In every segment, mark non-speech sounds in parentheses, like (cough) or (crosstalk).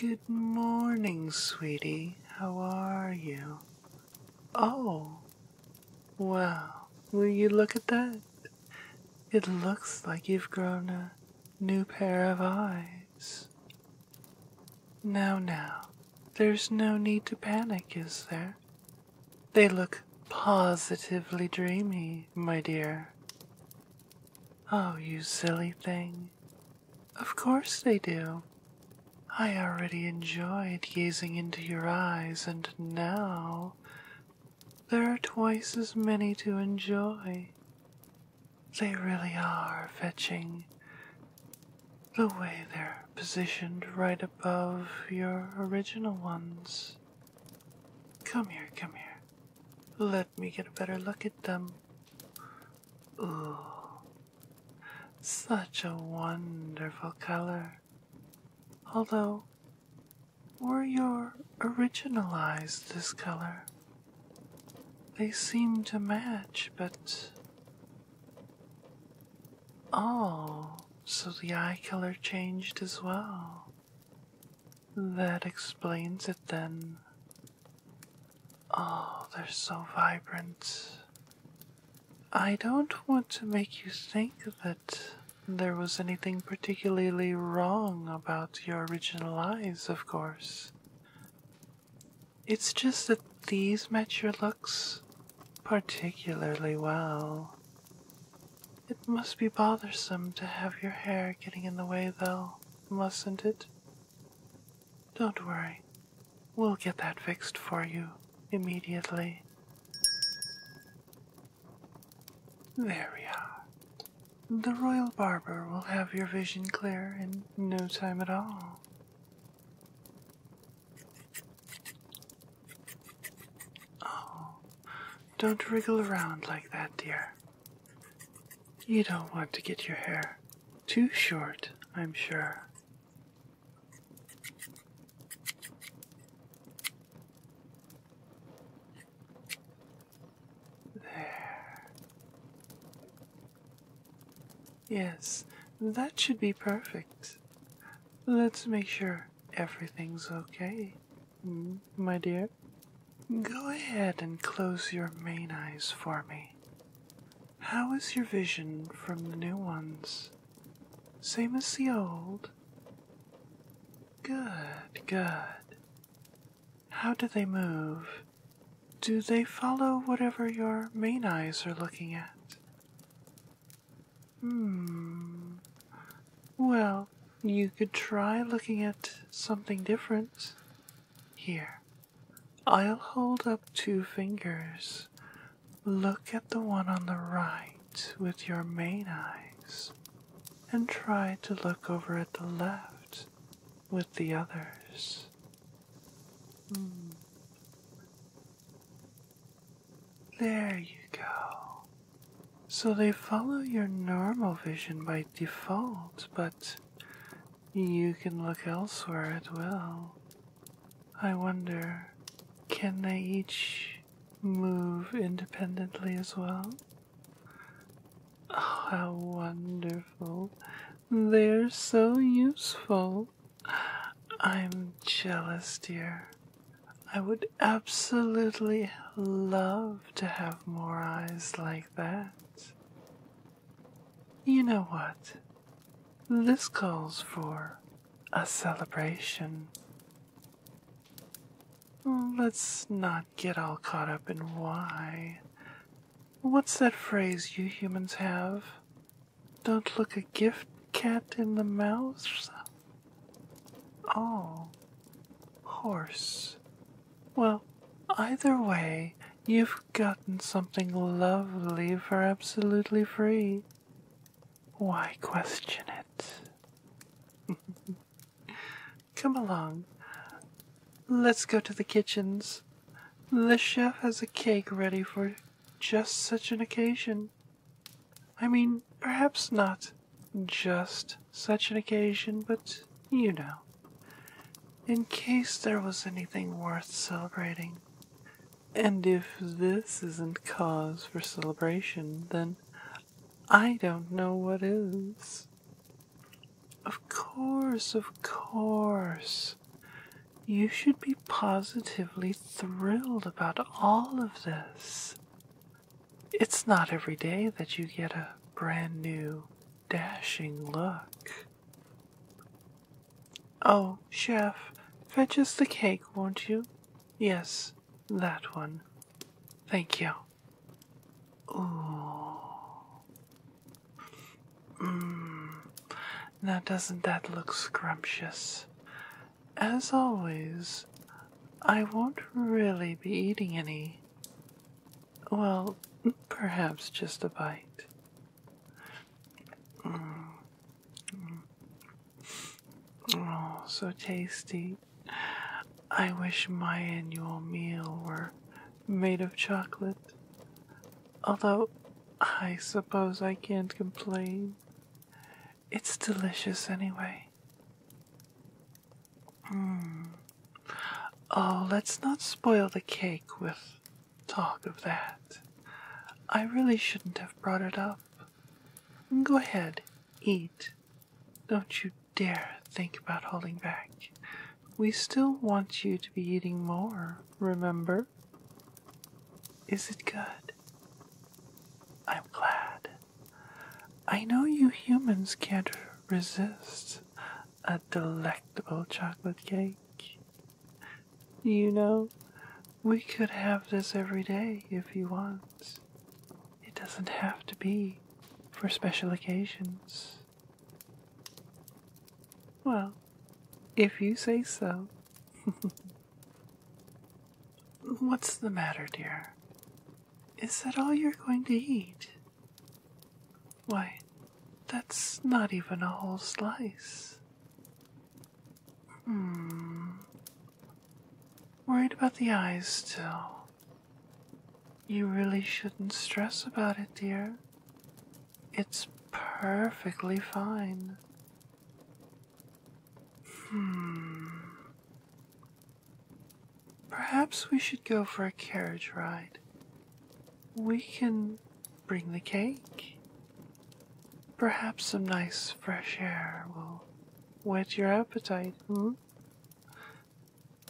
Good morning, sweetie. How are you? Oh, well. Will you look at that? It looks like you've grown a new pair of eyes. Now, now, there's no need to panic, is there? They look positively dreamy, my dear. Oh, you silly thing. Of course they do. I already enjoyed gazing into your eyes, and now there are twice as many to enjoy. They really are fetching. The way they're positioned right above your original ones. Come here, come here. Let me get a better look at them. Ooh, such a wonderful color. Although, were your original eyes this color? They seem to match, but Oh, so the eye color changed as well. That explains it then. Oh, they're so vibrant. I don't want to make you think that there was anything particularly wrong about your original eyes, of course. It's just that these match your looks particularly well. It must be bothersome to have your hair getting in the way, though, mustn't it? Don't worry, we'll get that fixed for you immediately. There we are. The royal barber will have your vision clear in no time at all. Oh, don't wriggle around like that, dear. You don't want to get your hair too short, I'm sure. There. Yes, that should be perfect. Let's make sure everything's okay, my dear. Go ahead and close your main eyes for me. How is your vision from the new ones? Same as the old? Good, good. How do they move? Do they follow whatever your main eyes are looking at? Hmm. Well, you could try looking at something different. Here, I'll hold up two fingers. Look at the one on the right with your main eyes, and try to look over at the left with the others. Hmm. There you go. So they follow your normal vision by default, but you can look elsewhere as well. I wonder, can they each move independently as well? Oh, how wonderful. They're so useful. I'm jealous, dear. I would absolutely love to have more eyes like that. You know what? This calls for a celebration. Let's not get all caught up in why. What's that phrase you humans have? Don't look a gift cat in the mouth? Oh, horse. Well, either way, you've gotten something lovely for absolutely free. Why question it? (laughs) Come along. Let's go to the kitchens. The chef has a cake ready for just such an occasion. I mean, perhaps not just such an occasion, but you know, in case there was anything worth celebrating. And if this isn't cause for celebration, then I don't know what is. Of course, of course. You should be positively thrilled about all of this. It's not every day that you get a brand new, dashing look. Oh, Chef, fetch us the cake, won't you? Yes, that one. Thank you. Ooh. Mm. Now, doesn't that look scrumptious? As always, I won't really be eating any. Well, perhaps just a bite. Mm. Mm. Oh, so tasty. I wish my annual meal were made of chocolate. Although, I suppose I can't complain. It's delicious anyway. Hmm. Oh, let's not spoil the cake with talk of that. I really shouldn't have brought it up. Go ahead, eat. Don't you dare think about holding back. We still want you to be eating more, remember? Is it good? I'm glad. I know you humans can't resist a delectable chocolate cake. You know, we could have this every day if you want. It doesn't have to be for special occasions. Well, if you say so. (laughs) What's the matter, dear? Is that all you're going to eat? Why, that's not even a whole slice. Hmm. Worried about the eyes still. You really shouldn't stress about it, dear. It's perfectly fine. Hmm. Perhaps we should go for a carriage ride. We can bring the cake. Perhaps some nice fresh air will whet your appetite, hmm?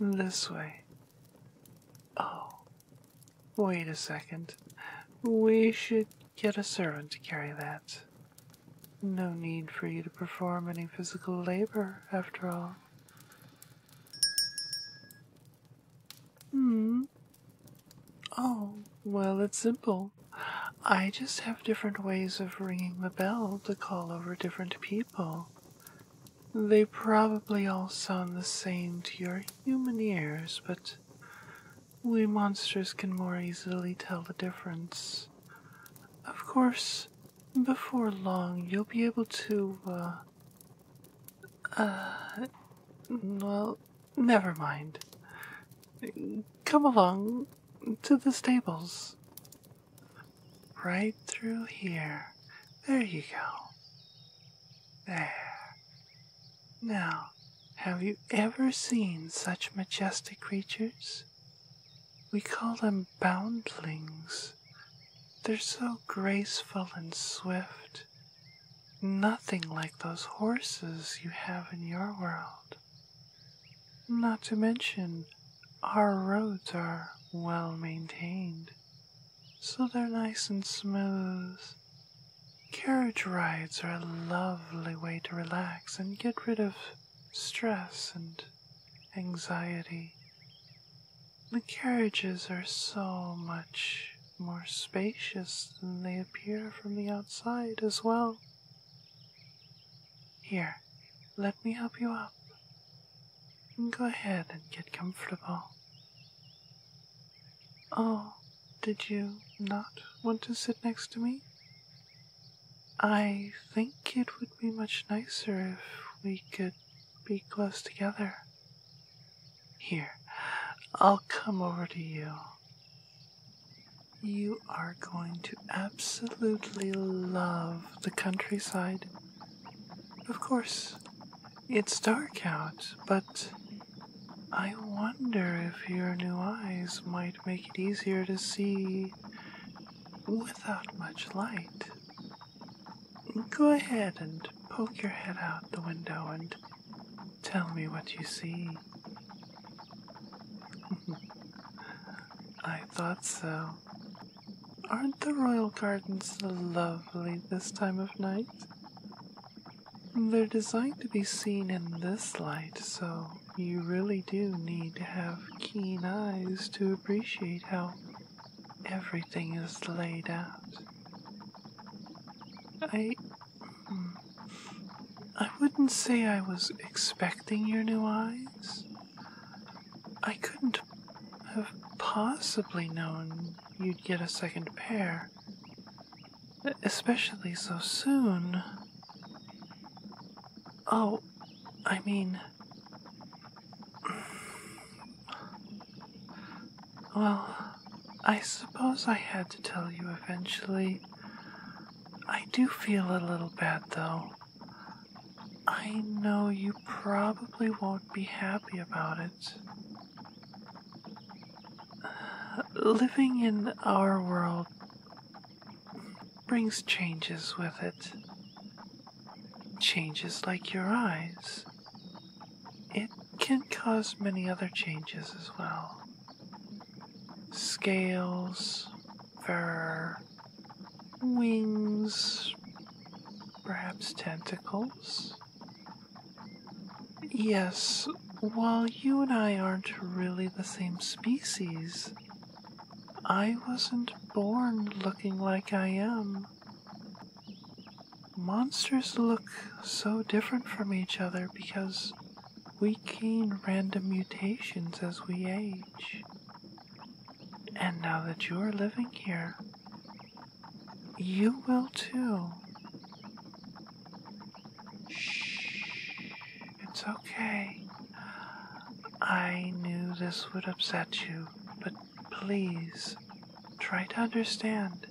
This way. Oh, wait a second. We should get a servant to carry that. No need for you to perform any physical labor, after all. Hmm. Oh, well, it's simple. I just have different ways of ringing the bell to call over different people. They probably all sound the same to your human ears, but we monsters can more easily tell the difference. Of course, before long you'll be able to, uh. Uh. Well, never mind. Come along to the stables. Right through here. There you go. There. Now, have you ever seen such majestic creatures? We call them boundlings. They're so graceful and swift. Nothing like those horses you have in your world. Not to mention, our roads are well maintained, so they're nice and smooth. Carriage rides are a lovely way to relax and get rid of stress and anxiety. The carriages are so much more spacious than they appear from the outside as well. Here, let me help you up. Go ahead and get comfortable. Oh, did you not want to sit next to me? I think it would be much nicer if we could be close together. Here, I'll come over to you. You are going to absolutely love the countryside. Of course, it's dark out, but I wonder if your new eyes might make it easier to see without much light. Go ahead and poke your head out the window and tell me what you see. (laughs) I thought so. Aren't the royal gardens lovely this time of night? They're designed to be seen in this light, so you really do need to have keen eyes to appreciate how everything is laid out. I. Hmm, I wouldn't say I was expecting your new eyes. I couldn't have possibly known you'd get a second pair, especially so soon. Oh, I mean. Well, I suppose I had to tell you eventually. I do feel a little bad though. I know you probably won't be happy about it. living in our world brings changes with it. Changes like your eyes. It can cause many other changes as well. Scales, fur, wings, perhaps tentacles. Yes, while you and I aren't really the same species, I wasn't born looking like I am. Monsters look so different from each other because we gain random mutations as we age. And now that you're living here, you will too. Shh. It's okay. I knew this would upset you, but please try to understand.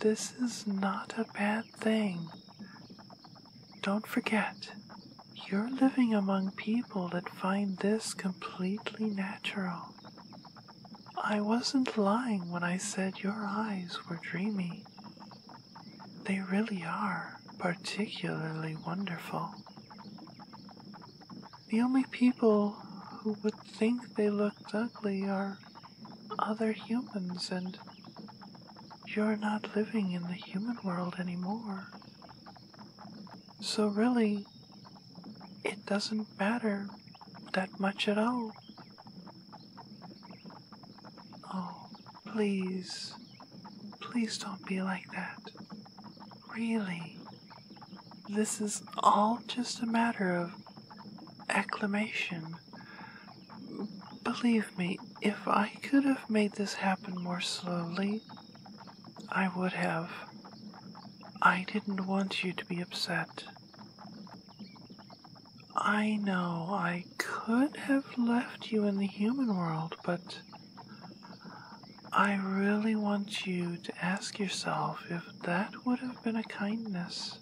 This is not a bad thing. Don't forget, you're living among people that find this completely natural. I wasn't lying when I said your eyes were dreamy. They really are particularly wonderful. The only people who would think they looked ugly are other humans, and you're not living in the human world anymore. So, really, it doesn't matter that much at all. Oh, Please, please don't be like that. Really, this is all just a matter of acclamation. Believe me, if I could have made this happen more slowly, I would have. I didn't want you to be upset. I know I could have left you in the human world, but I really want you to ask yourself if that would have been a kindness.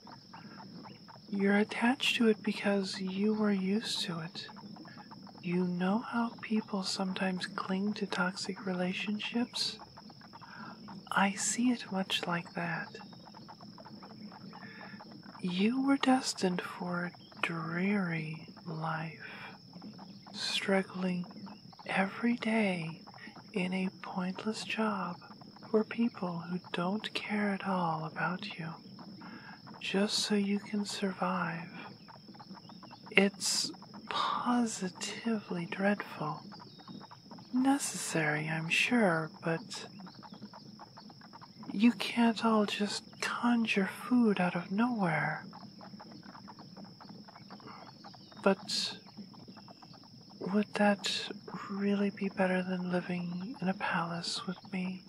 You're attached to it because you were used to it. You know how people sometimes cling to toxic relationships? I see it much like that. You were destined for dreary life, struggling every day in a pointless job for people who don't care at all about you, just so you can survive. It's positively dreadful. Necessary, I'm sure, but you can't all just conjure food out of nowhere. But would that really be better than living in a palace with me?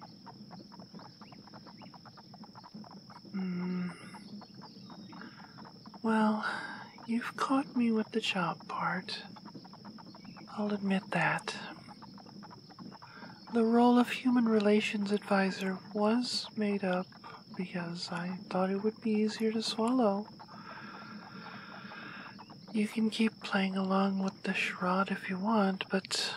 Hmm. Well, you've caught me with the chop part. I'll admit that. The role of human relations advisor was made up because I thought it would be easier to swallow. You can keep playing along with the shroud if you want, but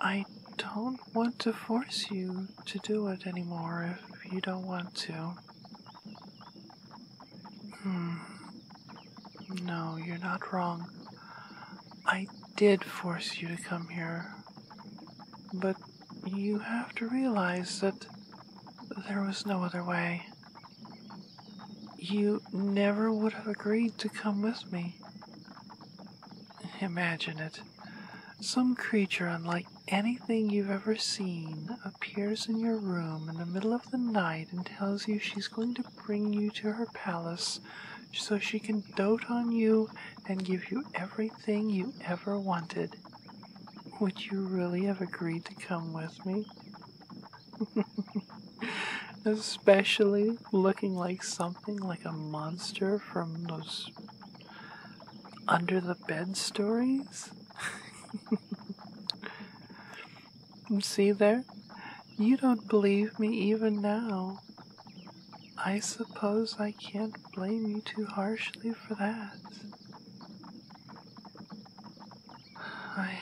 I don't want to force you to do it anymore if you don't want to. Hmm. No, you're not wrong. I did force you to come here, but you have to realize that there was no other way. You never would have agreed to come with me. Imagine it. Some creature unlike anything you've ever seen appears in your room in the middle of the night and tells you she's going to bring you to her palace so she can dote on you and give you everything you ever wanted. Would you really have agreed to come with me? (laughs) Especially looking like something like a monster from those under the bed stories? (laughs) See there? You don't believe me even now. I suppose I can't blame you too harshly for that. I,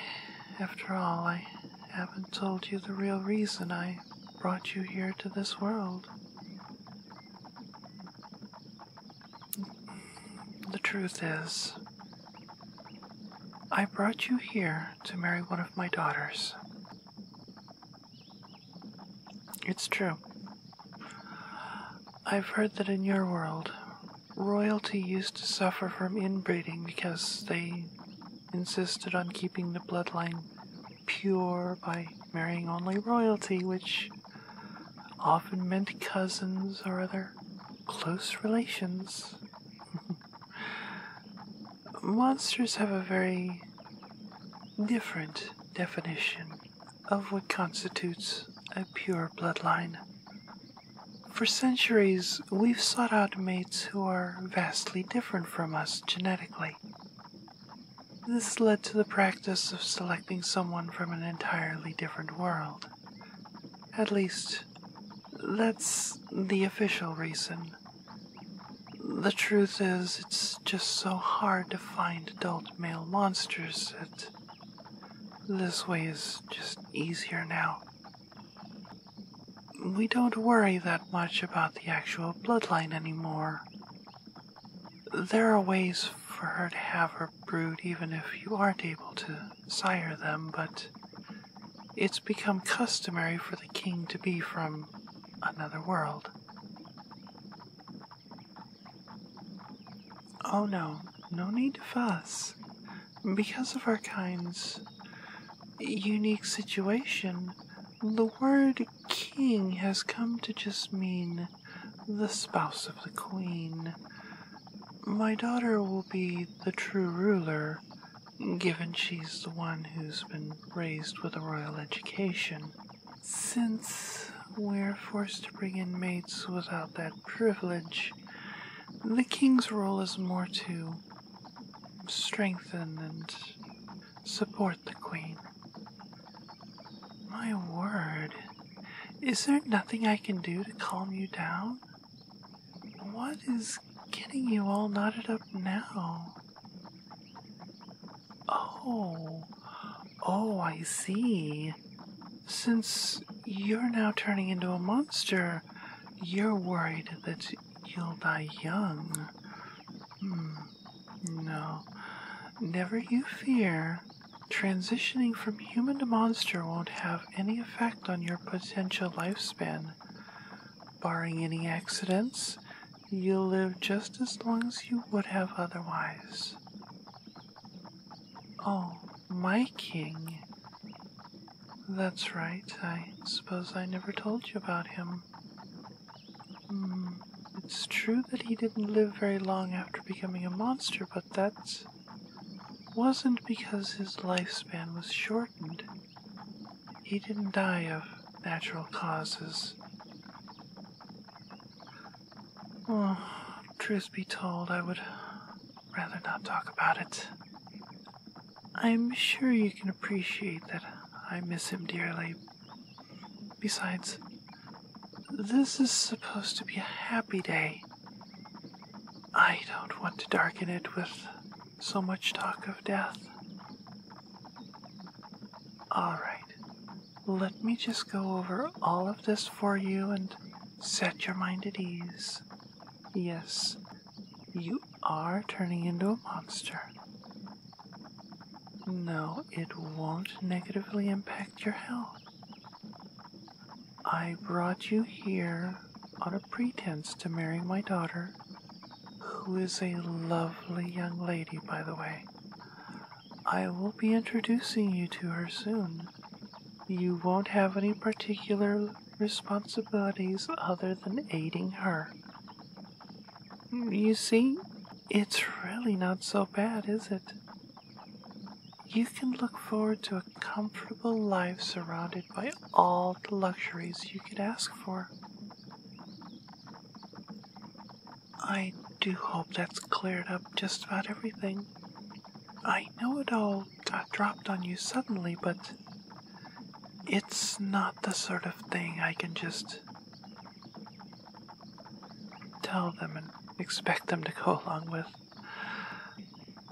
after all, I haven't told you the real reason I brought you here to this world. The truth is, I brought you here to marry one of my daughters. It's true. I've heard that in your world, royalty used to suffer from inbreeding because they insisted on keeping the bloodline pure by marrying only royalty, which often meant cousins or other close relations. (laughs) monsters have a very different definition of what constitutes a pure bloodline. For centuries, we've sought out mates who are vastly different from us genetically. This led to the practice of selecting someone from an entirely different world. At least, that's the official reason. The truth is, it's just so hard to find adult male monsters that this way is just easier now. We don't worry that much about the actual bloodline anymore. There are ways for her to have her brood even if you aren't able to sire them, but it's become customary for the king to be from another world. Oh no, no need to fuss. Because of our kind's unique situation, the word king has come to just mean the spouse of the queen. My daughter will be the true ruler given she's the one who's been raised with a royal education. Since we're forced to bring in mates without that privilege, the king's role is more to strengthen and support the queen. My word, is there nothing I can do to calm you down? What is getting you all knotted up now? Oh, oh, I see. Since you're now turning into a monster, you're worried that you'll die young. Hmm. No. Never you fear. Transitioning from human to monster won't have any effect on your potential lifespan. Barring any accidents, you'll live just as long as you would have otherwise. Oh, my king. That's right, I suppose I never told you about him. Hmm, it's true that he didn't live very long after becoming a monster, but that wasn't because his lifespan was shortened. He didn't die of natural causes. Well, truth be told, I would rather not talk about it. I'm sure you can appreciate that I miss him dearly. Besides, this is supposed to be a happy day. I don't want to darken it with so much talk of death. Alright, let me just go over all of this for you and set your mind at ease. Yes, you are turning into a monster. No, it won't negatively impact your health. I brought you here on a pretense to marry my daughter who is a lovely young lady, by the way. I will be introducing you to her soon. You won't have any particular responsibilities other than aiding her. You see, it's really not so bad, is it? You can look forward to a comfortable life surrounded by all the luxuries you could ask for. I do hope that's cleared up just about everything. I know it all dropped on you suddenly, but it's not the sort of thing I can just tell them and expect them to go (laughs) along with.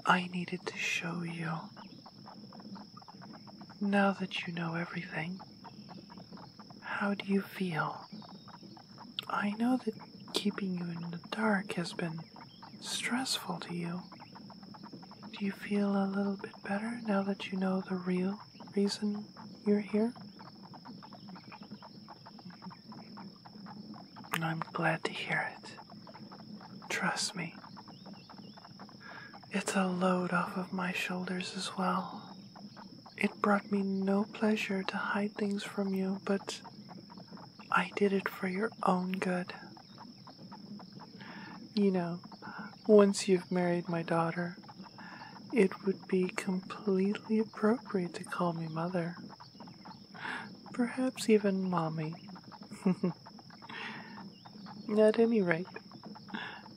I needed to show you. Now that you know everything, how do you feel? I know that keeping you in the dark has been stressful to you. Do you feel a little bit better now that you know the real reason you're here? I'm glad to hear it. Trust me. It's a load off of my shoulders as well. It brought me no pleasure to hide things from you, but I did it for your own good. You know, once you've married my daughter, it would be completely appropriate to call me mother. Perhaps even mommy. (laughs) At any rate,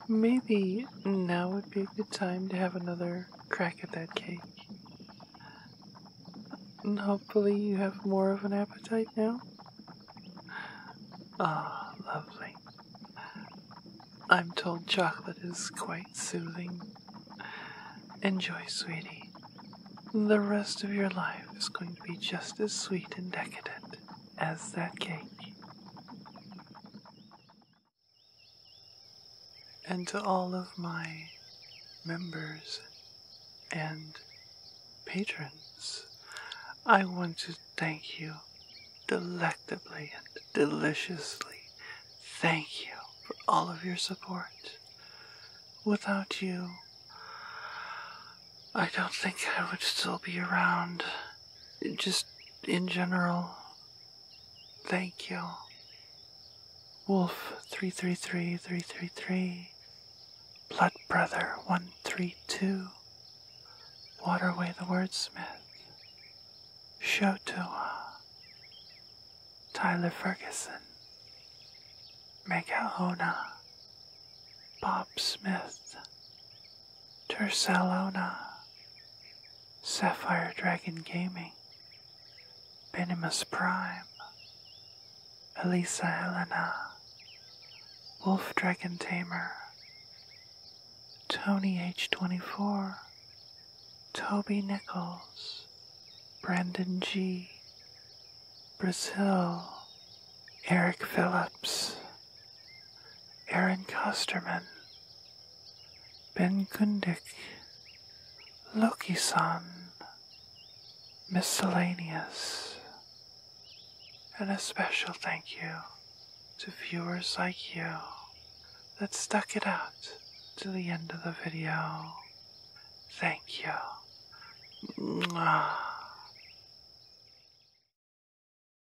maybe now would be a good time to have another crack at that cake. And hopefully, you have more of an appetite now. Ah, lovely. I'm told chocolate is quite soothing. Enjoy, sweetie. The rest of your life is going to be just as sweet and decadent as that cake and to all of my members and patrons. I want to thank you delectably and deliciously. Thank you for all of your support. Without you, I don't think I would still be around. Just in general, thank you. Wolf 333 333, Blood Brother 132, Waterway the Wordsmith, Shotua, Tyler Ferguson, Mega Bob Smith, Tursalona, Sapphire Dragon Gaming, Benimus Prime, Elisa Helena, Wolf Dragon Tamer, Tony H24, Toby Nichols, Brandon G, Brazil, Eric Phillips, Aaron Costerman, Ben Gundik, Loki san, miscellaneous, and a special thank you to viewers like you that stuck it out to the end of the video. Thank you. Mwah.